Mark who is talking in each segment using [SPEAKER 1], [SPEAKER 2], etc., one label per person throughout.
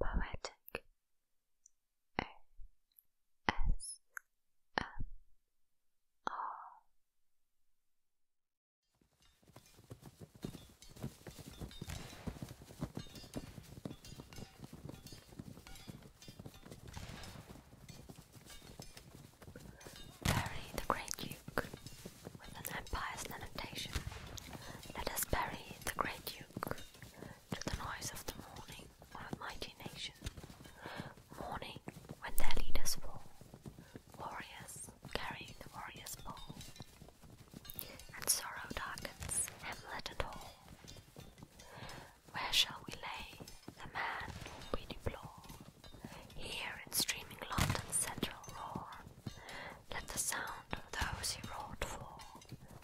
[SPEAKER 1] Poetic A S M R Perry the Great with an impious lamentation, let us bury the great Duke. To the noise of the morning a mighty nation, morning when their leaders fall, warriors carrying the warrior's ball, and sorrow darkens hamlet and hall. Where shall we lay the man we deplore? Here in streaming London's central roar, let the sound of those he wrought for,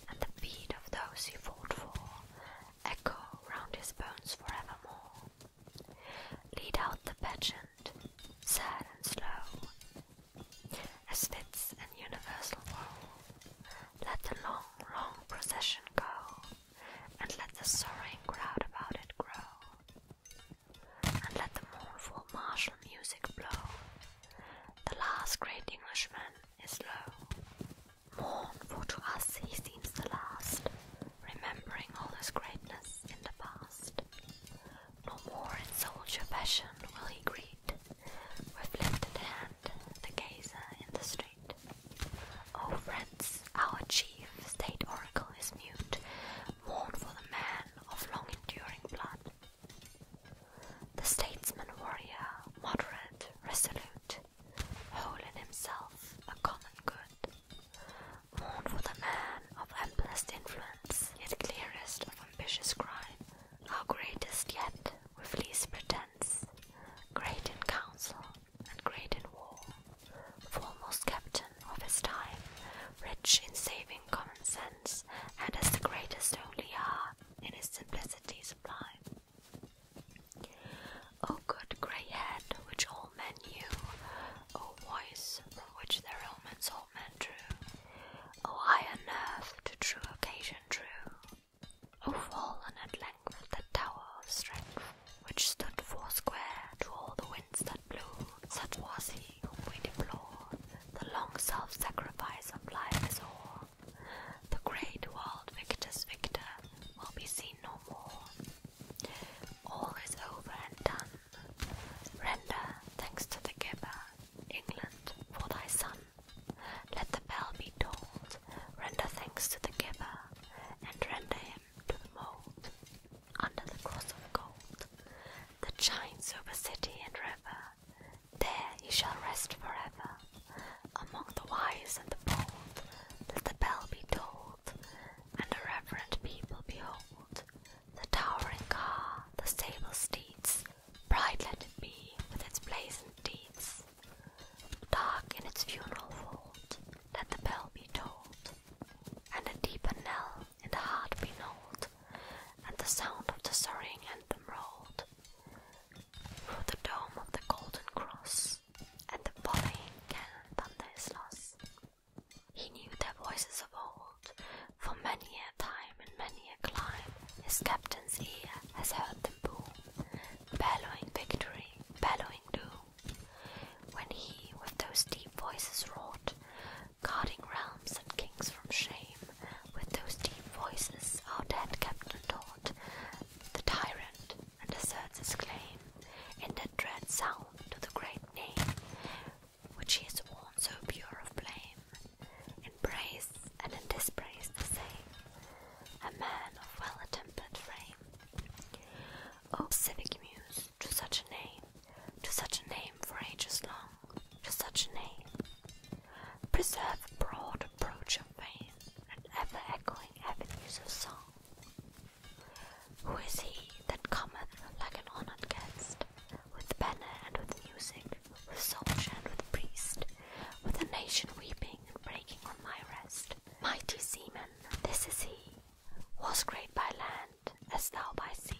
[SPEAKER 1] and the beat of those he fought for, echo round his bones forevermore. Lead out the pageant, sad and slow, as fits an universal woe. Let the long, long procession go, and let the sorrowing crowd about it grow and let the mournful martial music blow. The last great Englishman is low. Mourn, for to us he seems the last, remembering all his greatness in the past. No more in soldier fashion will he greet, with lifted hand, the gazer in the street. Oh, friends, our chief the state oracle is mute, mourn for the man of long enduring blood. The statesman warrior, moderate, resolute, whole in himself, a common good. Mourn for the man of amplest influence, yet clearest of ambitious crime, our greatest yet, with least pretense, great in council and great in war, foremost captain of his time, rich in saving common sense, and as the greatest only are in his simplicity sublime. O good grey head, which all men knew, O voice from which their omens all men drew, O iron nerve to true occasion true, O fallen at length the tower of strength, which stood foursquare to all the winds that blew. Such was he whom we deplore, the long self-sacrifice of life is o'er. The great world victor's victor will be seen no more. All is over and done. Render thanks to the giver, England, for thy son. Let the bell be tolled. Render thanks to the giver, and render him to the mold, under the cross of gold, that shines over city and river. There you shall rest forever, among the wise and the bold. Let the bell be tolled, and the reverent people behold the towering car, the stable steeds. Bright let it be with its blazoned deeds. Dark in its funeral vault, let the bell be tolled, and a deeper knell in the heart be knolled, and the sound of the soaring anthem rolled through the dome of the golden cross, and the volleying cannon thunder is lost. He knew their voices of old, for many a time and many a clime his captain's ear has heard them boom, bellowing victory, bellowing doom when he with those deep voices wrought, guarding realms and kings from shame, with those deep voices our dead captain taught, the tyrant and asserts his claim, in that dread sound to the great name, which he has worn so pure of blame, in praise and in dispraise the same, a man of well-attempered frame. O oh, civic muse, to such a name, to such a name for ages long, to such a name, preserve a broad approach of fame, and ever echoing avenues of song. Who is he that cometh like an honored guest, with banner and with music, with soldier and with priest, with a nation weeping spring breaking on my rest. Mighty seaman, this is he, was great by land as thou by sea.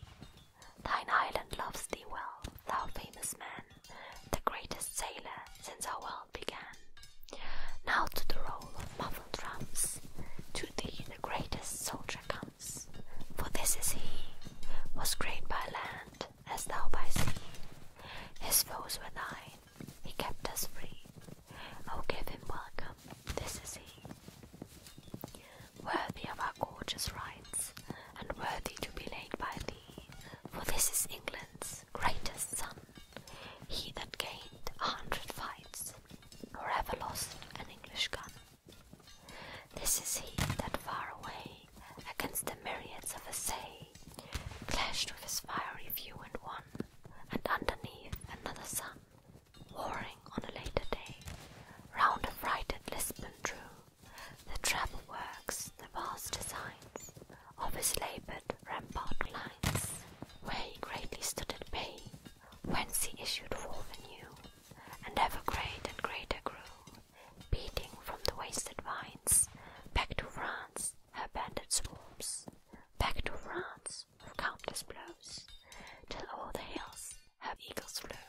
[SPEAKER 1] Thine island loves thee well, thou famous man, the greatest sailor since our world began. Now to the roll of muffled drums, to thee the greatest soldier comes. For this is he, was great by land as thou by sea. His foes were thine. He kept us free. Oh, give him welcome. This is he. Worthy of our gorgeous rights, and worthy to be laid by thee, for this is England's greatest son, he that gained a hundred fights, or ever lost an English gun. This is he that far away against the myriads of sea, clashed with his fiery view and won, and underneath another sun, warring on a later day, round affrighted Lisbon drew, the travel works, the vast designs of his laboured rampart lines, where he greatly stood at bay, whence he issued forth anew, and ever great and greater grew, beating from the wasted vines, back to France, her banded swarms, back to France, with countless blows, till o'er the hills her eagles flew,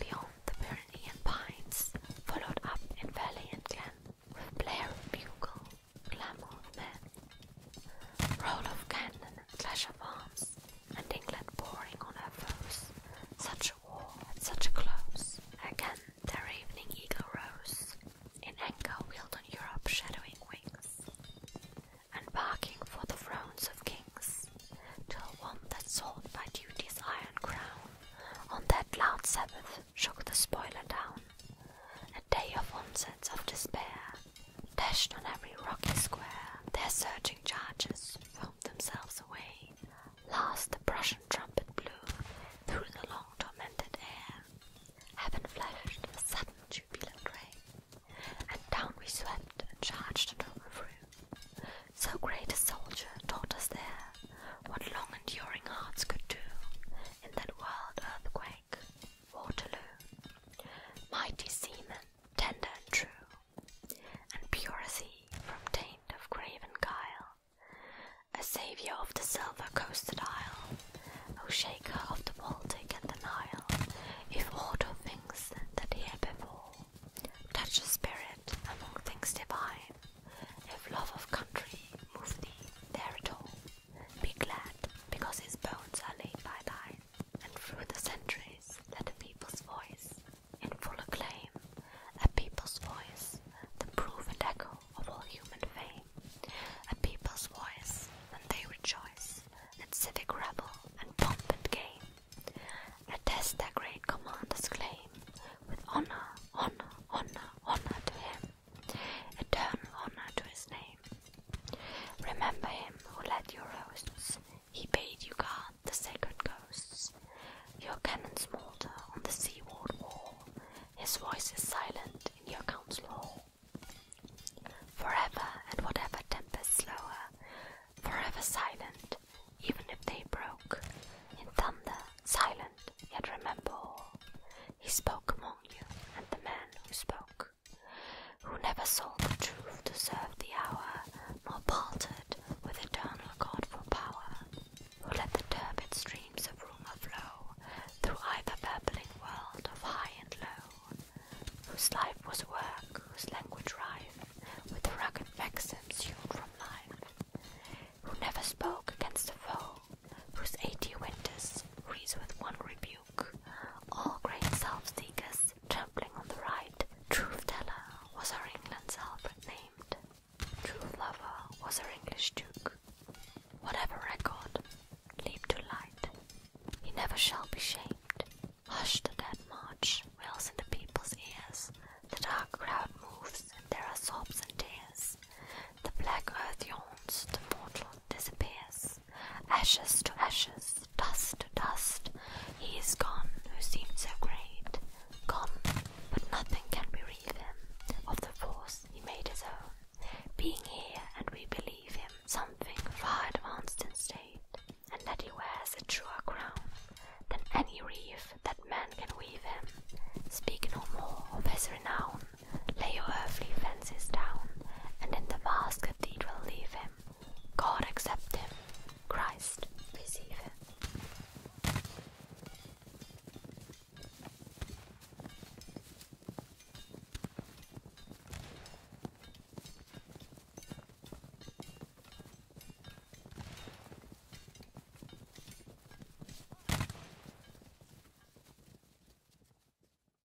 [SPEAKER 1] beyond the Pyrenean pines, followed up in valley and glen, with blare of bugle, clamour of men, roll of cannon clash of arms, and England pouring on her foes, such war, at such a close. Again, their evening eagle rose, in anger wheeled on Europe shadowing wings, and barking for the thrones of kings, till one that sought by duty's iron crown, on that loud Sabbath shook the spoiler down. A day of onset of despair, dashed on every rocky square, their surging charges foamed themselves away Last the Prussian trumpet blew through the long tormented air. Heaven flashed a sudden jubilant ray, and down we swept and charged and overthrew. So great a soldier taught us there what long enduring hearts could do in that wild earthquake, Waterloo. Mighty seamen, tender and true, and purity from taint of graven guile, a saviour of the silver coasted isle, O shaker of the Baltic and the Nile, if aught of things that here before, touch a spirit among things divine, if love of country move thee there at all, be glad because his bones are laid by thine, and through the centuries let a people's voice in full acclaim, a people's voice, the proven echo of all human fame, a people's voice, and they rejoice, and civic revel, and pomp and game, a test their great commanders claim, with honor, honor, honor, honor to him, eternal honor to his name. Remember him who led your hosts he bade you guard the sacred ghosts. Your cannon's smolder on the seaward wall. His voice is silent in your council hall. Forever and whatever tempests lower, forever silent, even if they broke. In thunder, silent, yet remember He spoke among you, and the man who spoke who never sought the truth to serve the hour, nor paltered with eternal God for power, who let the turbid streams of rumour flow through either babbling world of high and low, whose life was work, whose language rife with rugged maxims hewn from life, who never spoke against a foe, whose eighty winters freeze with one rebuke all great self-seekers Grace, trampling on the right. Truth Teller was her England's Albert named. Truth Lover was her English Duke. Whatever record, leap to light. He never shall be shamed. Hush the dead march, wails in the people's ears. The dark crowd moves, and there are sobs and tears. The black earth yawns, the mortal disappears. Ashes to ashes, dust to dust, he is gone who seemed so great. Gone, but nothing can bereave him of the force he made his own. Being here, and we believe him something far advanced in state, and that he wears a truer crown than any wreath that man can weave him. Speak no more of his renown, lay your earthly fences down, and in the vast cathedral leave him. God accept him. Christ receive him.